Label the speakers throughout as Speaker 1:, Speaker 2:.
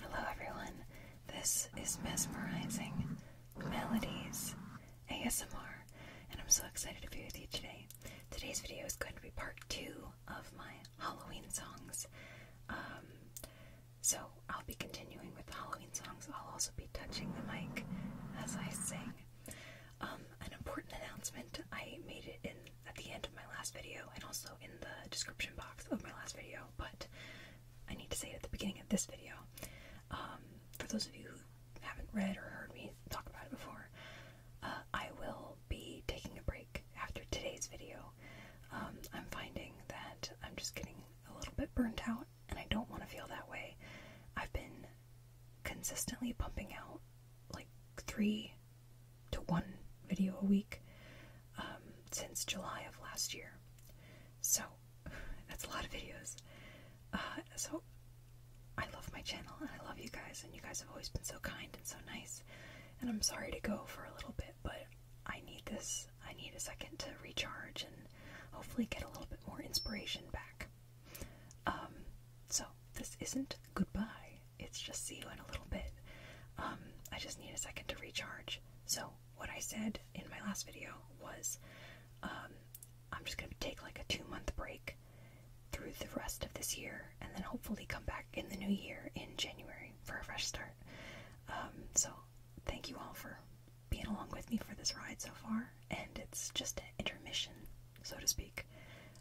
Speaker 1: Hello, everyone. This is Mesmerizing Melodies ASMR, and I'm so excited to be with you today. Today's video is going to be part two of my Halloween songs. Um, so I'll be continuing with the Halloween songs. I'll also be touching the mic as I sing. Um, an important announcement I made it in at the end of my last video and also in the description box of my last video, but I need to say it at the beginning of this video. Um, for those of you who haven't read or heard me talk about it before, uh, I will be taking a break after today's video. Um, I'm finding that I'm just getting a little bit burnt out and I don't want to feel that way. I've been consistently pumping out like three to one video a week um, since July of last year. So that's a lot of videos. Uh, so I love my channel and I love you guys, and you guys have always been so kind and so nice. And I'm sorry to go for a little bit, but I need this I need a second to recharge and hopefully get a little bit more inspiration back. Um, so this isn't goodbye, it's just see you in a little bit. Um, I just need a second to recharge. So, what I said in my last video was um, I'm just going to take like a two month break through the rest of this year and then hopefully come back in the new year in January for a fresh start. so, thank you all for being along with me for this ride so far, and it's just an intermission, so to speak.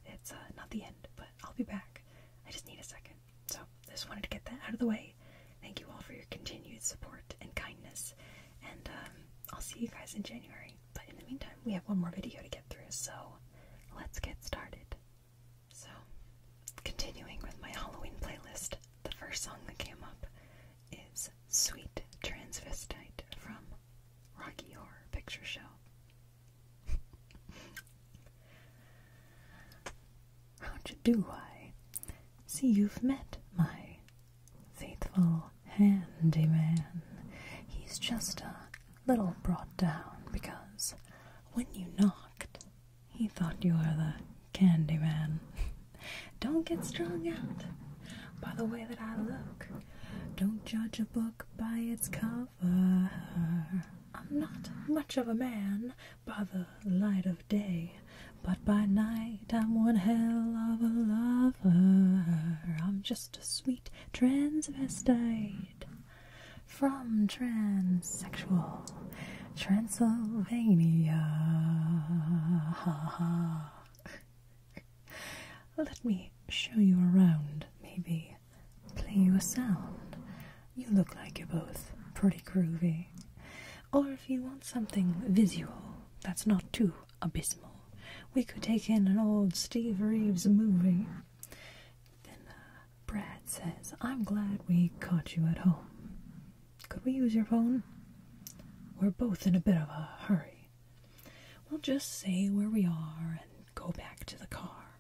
Speaker 1: It's uh, not the end, but I'll be back. I just need a second. So, I just wanted to get that out of the way. Thank you all for your continued support and kindness, and um, I'll see you guys in January. But in the meantime, we have one more video to get through, so let's get started. So, continuing with my Halloween playlist, the first song that came up is Sweet Transvestite from Rocky Horror Picture Show. How do I see you've met my faithful handyman? He's just a little brought down because when you knocked, he thought you were the candy man. Don't get strung out by the way that I look. Don't judge a book by its cover. I'm not much of a man by the light of day, but by night I'm one hell of a lover. I'm just a sweet transvestite from transsexual Transylvania. Let me show you around, maybe. Play you a sound. You look like you're both pretty groovy. Or if you want something visual that's not too abysmal, we could take in an old Steve Reeves movie. Then uh, Brad says, I'm glad we caught you at home. Could we use your phone? We're both in a bit of a hurry. We'll just say where we are and go back to the car.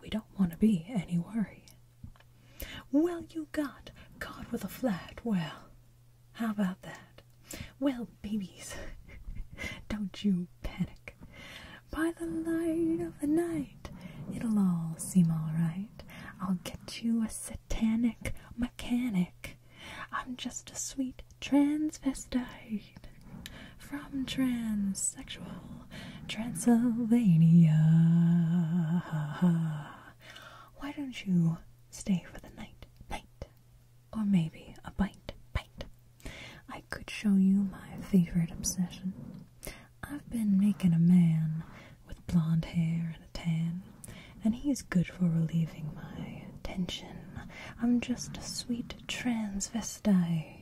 Speaker 1: We don't want to be any worry. Well, you got caught with a flat. Well, how about that? Well, babies, don't you panic. By the light of the night, It'll all seem all right. I'll get you a satanic mechanic. I'm just a sweet transvestite from transsexual Transylvania. Why don't you stay for the night, night, or maybe a bite, bite? I could show you my favorite obsession. I've been making a man with blonde hair and a tan, and he's good for relieving my tension. I'm just a sweet transvestite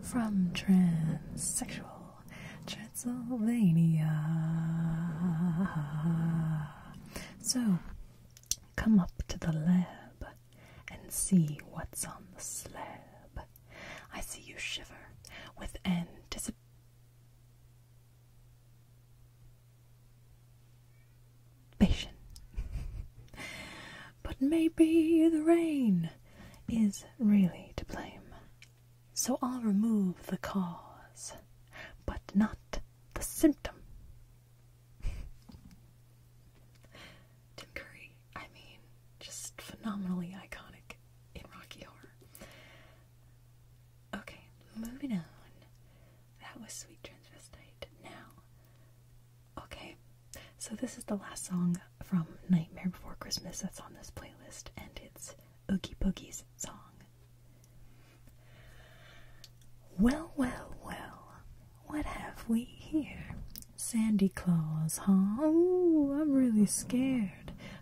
Speaker 1: from transsexual Transylvania. So, come up to the lab and see what's on the slab. I see you shiver with anticipation patience. but maybe the rain is really to blame. So I'll remove the cause, but not the symptom. Tim I mean, just phenomenally iconic in Rocky Horror. Okay, moving on. That was Sweet Transvestite. Now, okay, so this is the last song from Nightmare Before Christmas that's on this playlist, and it's Oogie Boogie's song. Well, well, well, what have we here? Sandy Claus, huh? Ooh, I'm really scared.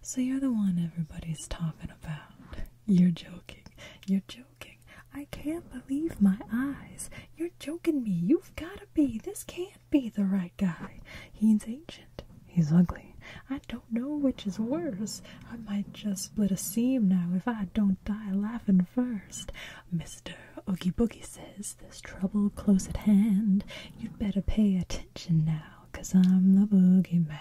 Speaker 1: So you're the one everybody's talking about. You're joking. You're joking. I can't believe my eyes. You're joking me. You've gotta be. This can't be the right guy. He's ancient. He's ugly. I don't know which is worse. I might just split a seam now if I don't die laughing first. Mr. Oogie Boogie says there's trouble close at hand. You'd better pay attention now now, cause I'm the boogeyman.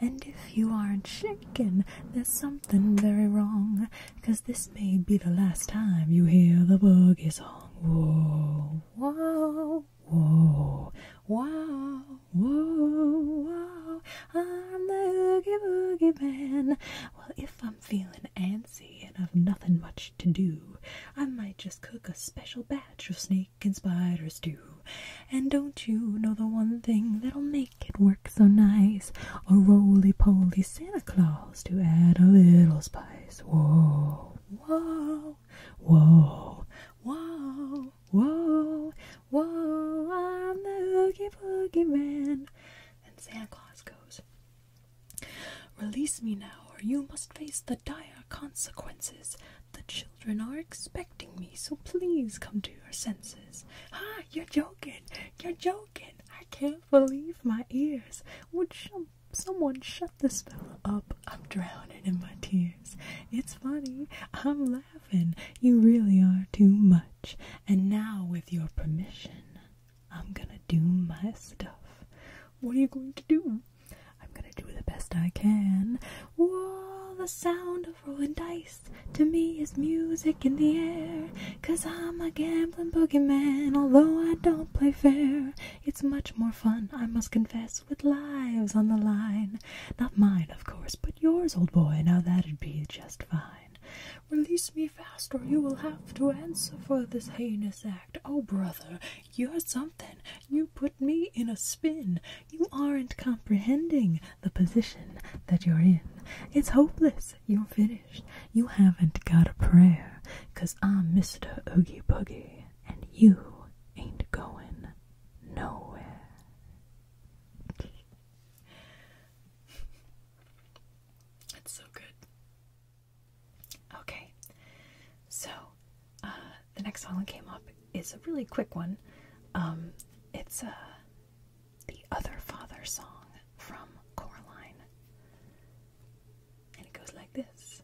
Speaker 1: And if you aren't shaken, there's something very wrong, cause this may be the last time you hear the boogie song. Whoa, whoa, whoa, whoa, whoa, whoa. I'm the oogie boogie man. Well, if I'm feeling antsy and I've nothing much to do, I might just cook a special batch natural snake and spiders do. And don't you know the one thing that'll make it work so nice? A roly poly Santa Claus to add a little spice. Whoa, whoa, whoa, whoa, whoa, whoa, I'm the hoogie boogie man. And Santa Claus goes. Release me now, or you must face the dire consequences. The children are expecting me, so please come to your senses. Ah, you're joking! You're joking! I can't believe my ears. Would some someone shut this fellow up? I'm drowning in my tears. It's funny. I'm laughing. You really are too much. And now, with your permission, I'm gonna do my stuff. What are you going to do? I'm gonna do the best I can. Whoa, the sound of rolling dice to me is music in the air. Cause I'm a gambling boogeyman, although I don't play fair. It's much more fun, I must confess, with lives on the line. Not mine, of course, but yours, old boy. Now that'd be just fine. Release me fast, or you will have to answer for this heinous act. Oh, brother, you're something. You put me in a spin. You aren't comprehending the position that you're in. It's hopeless. You're finished. You haven't got a prayer. Cause I'm Mr. Oogie Boogie and you ain't going nowhere. It's so good. Okay, so uh, the next song that came up is a really quick one. Um, it's uh, the Other Father song from Coraline, and it goes like this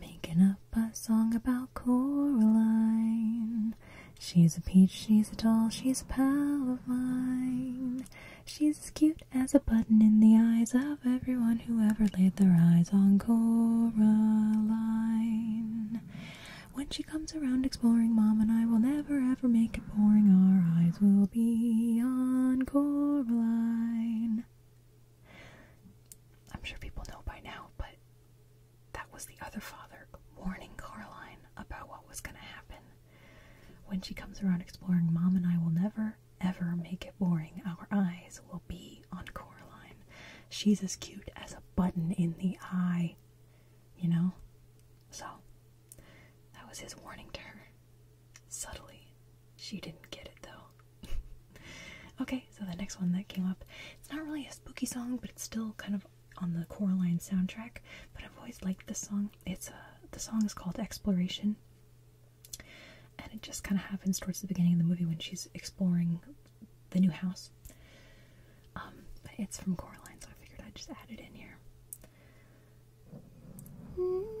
Speaker 1: Making up a song about Coraline. She's a peach, she's a doll, she's a pal of mine. She's as cute as a button in the eyes of everyone who ever laid their eyes on Coraline. When she comes around exploring, Mom and I will never ever make it boring. Our eyes will be on Coraline. I'm sure people know by now, but that was the other father warning Coraline about what was going to happen. When she comes around exploring, Mom and I will never ever make it boring. Our eyes will be on Coraline. She's as cute as a button in the eye, you know? So, that was his warning to her. Subtly. She didn't get it though. okay, so the next one that came up, it's not really a spooky song, but it's still kind of on the Coraline soundtrack, but I've always liked this song. It's a uh, the song is called Exploration and it just kind of happens towards the beginning of the movie when she's exploring the new house. Um, but it's from Coraline, so I figured I'd just add it in here.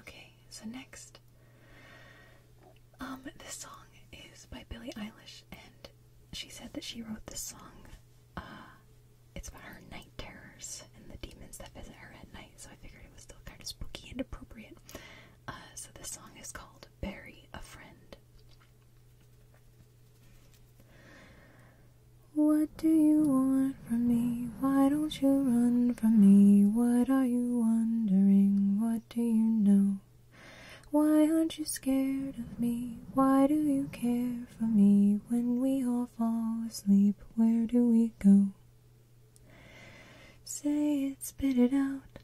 Speaker 1: Okay, so next um, this song is by Billie Eilish, and she said that she wrote this song. Uh, it's about her night terrors and the demons that visit her at night, so I figured it was still kind of spooky and appropriate. Uh, so this song is called Bury a Friend. What do you want from me? Why don't you run from me? What are you wondering? What do you know? Why aren't you scared of me? Why do you care for me? When we all fall asleep, where do we go? Say it, spit it out.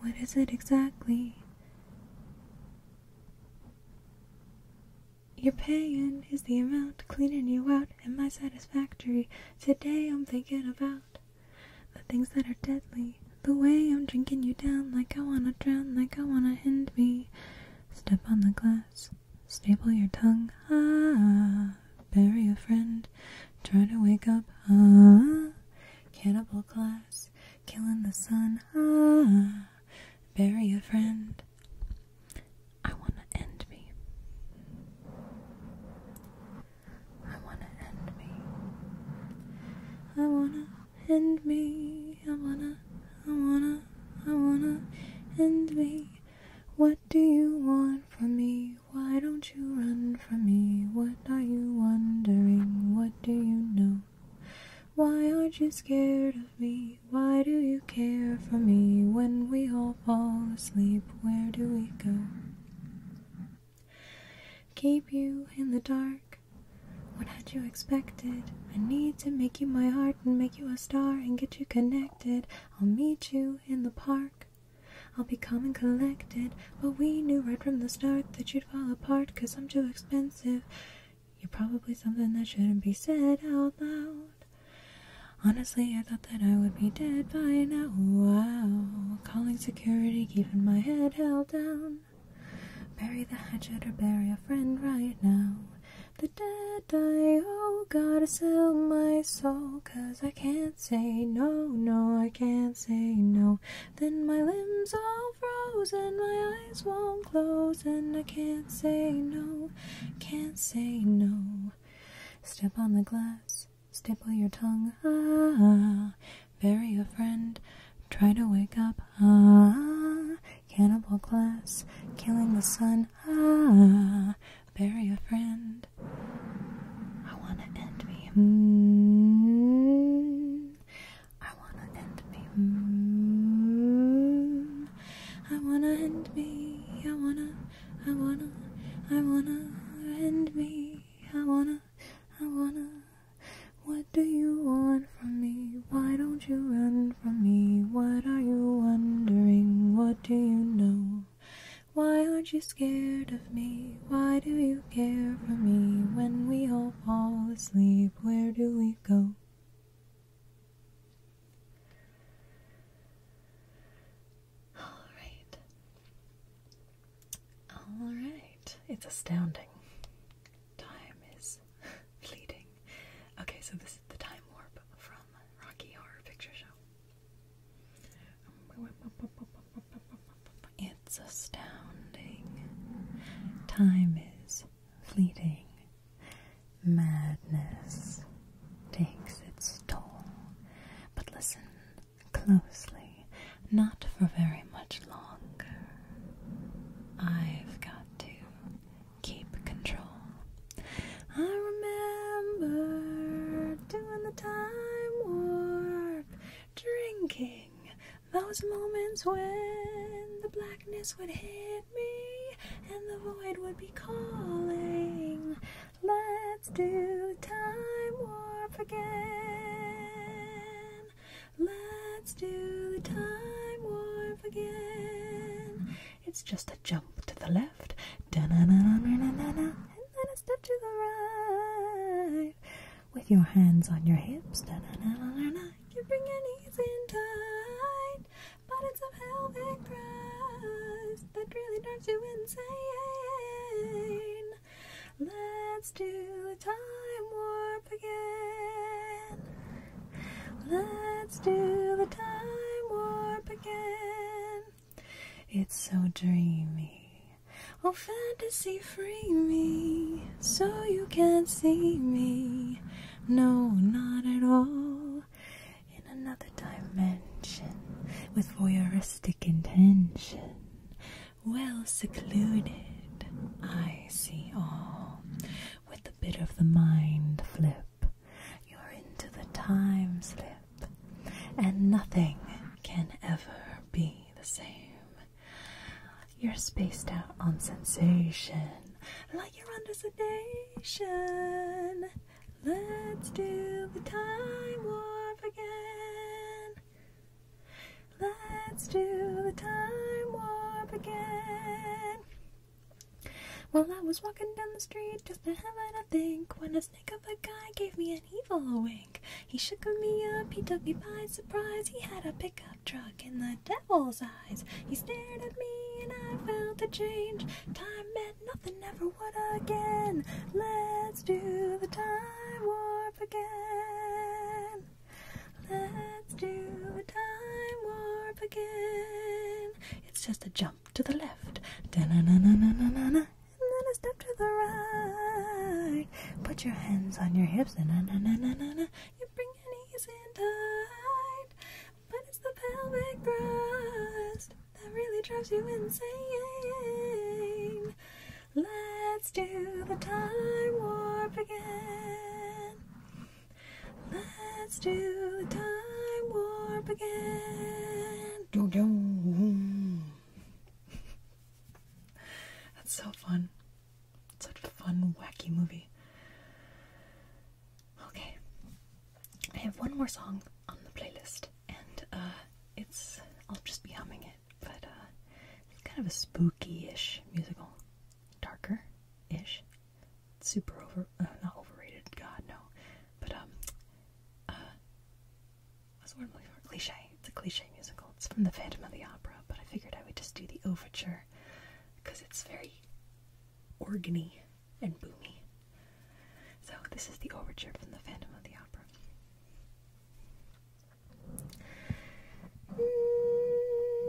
Speaker 1: What is it exactly? Your paying is the amount, cleaning you out, am I satisfactory. Today I'm thinking about the things that are deadly. The way I'm drinking you down like I wanna drown, like I wanna end me. Step on the glass, staple your tongue, ah. Bury a friend, try to wake up, ah. Cannibal class. killing the sun, ah. Bury a friend. I wanna end me. I wanna end me. I wanna end me. I wanna, I wanna, I wanna end me. What do you want from me? Why don't you run from me? What are you wondering? What do you know? Why aren't you scared of me? Why do you care for me? When we all fall asleep, where do we go? Keep you in the dark. What had you expected? I need to make you my heart and make you a star and get you connected. I'll meet you in the park. I'll be calm and collected. But we knew right from the start that you'd fall apart because I'm too expensive. You're probably something that shouldn't be said out loud. Honestly, I thought that I would be dead by now. Wow. Calling security, keeping my head held down. Bury the hatchet or bury a friend right now. The dead I owe, gotta sell my soul, cause I can't say no, no, I can't say no. Then my limbs all frozen, my eyes won't close, and I can't say no, can't say no. Step on the glass, Staple your tongue, ah, bury a friend, try to wake up, ah, cannibal class, killing the sun, ah, bury a friend. I wanna end me, mm, I wanna end me, mm, I wanna end me, I wanna, I wanna, I wanna end me, I wanna. I wanna. What do you want from me? Why don't you run from me? What are you wondering? What do you know? Why aren't you scared of me? Why do you care for me? When we all fall asleep, where do we go? Alright. Alright. It's astounding. Time is fleeting. Okay, so this is the time warp from Rocky Horror Picture Show. It's astounding. Time is fleeting. Madness takes its toll. But listen, closely, not for very much longer. I've got to keep control. I remember doing the time warp, drinking those moments when the blackness would hit me and the void would be calling. Let's do the time warp again. Let's do the time warp again. It's just a jump to the left, da na na na na na na, and then a step to the right. With your hands on your hips, da na na na na na, you bring your knees in tight. Bottoms of pelvic thrust that really drives you insane. Let's do the time warp again. Let's do the time warp again. It's so dreamy. Oh, fantasy free me so you can't see me. No, not at all. In another dimension with voyeuristic intention. Well secluded, I see all. With a bit of the mind flip, you're into the time slip, and nothing can ever be the same. You're spaced out on sensation, like you're under sedation. Let's do the time warp again. Let's do the time warp again. Well, I was walking down the street just to having a think when a snake of a guy gave me an evil wink. He shook me up, he took me by surprise. He had a pickup truck in the devil's eyes. He stared at me and I felt a change. Time meant nothing ever what again? Let's do the time warp again. Let's do the time warp again. It's just a jump to the left. -na -na -na -na -na -na. And then a step to the right. Put your hands on your hips. and na na na na na na. You bring your knees in tight. But it's the pelvic thrust that really drives you insane. Let's do the time warp again. Let's do the time warp again. That's so fun. It's such a fun, wacky movie. Okay, I have one more song on the playlist, and uh, it's I'll just be humming it, but uh, it's kind of a spooky-ish musical, darker-ish, super over, uh, not overrated, God no, but um, Cliche. It's a cliche musical. It's from The Phantom of the Opera, but I figured I would just do the overture because it's very organy and boomy. So, this is the overture from the Phantom of the Opera.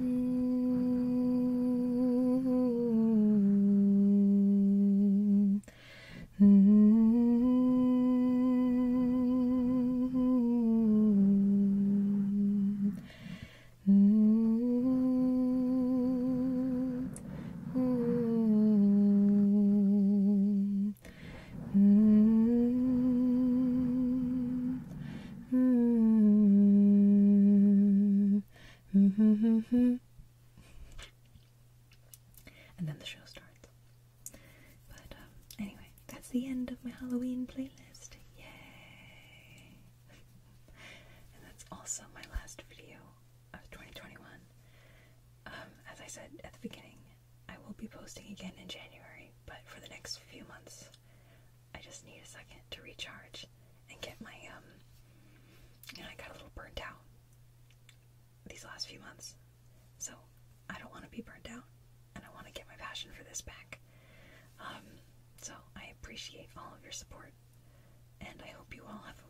Speaker 2: Mm-hmm. Mm-hmm. hmm
Speaker 1: Mm-hmm. and then the show starts. But um, anyway, that's the end of my Halloween playlist. Yay! and that's also my last video of 2021. Um, as I said at the beginning, I will be posting again in January, but for the next few months, I just need a second to recharge and get my um and I got a little burnt out these last few months. So I don't want to be burnt out and I want to get my passion for this back. Um so I appreciate all of your support and I hope you all have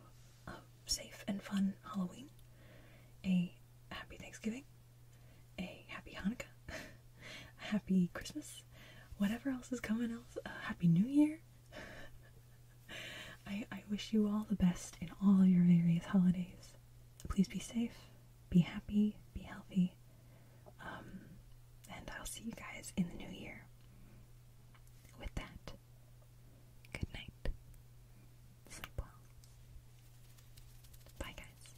Speaker 1: a, a safe and fun Halloween. A happy Thanksgiving. A happy Hanukkah. happy Christmas, whatever else is coming else, uh, happy New Year. I I wish you all the best in all your various holidays. Please be safe, be happy, be healthy. Um, and I'll see you guys in the new year. With that, good night. Sleep well. Bye, guys.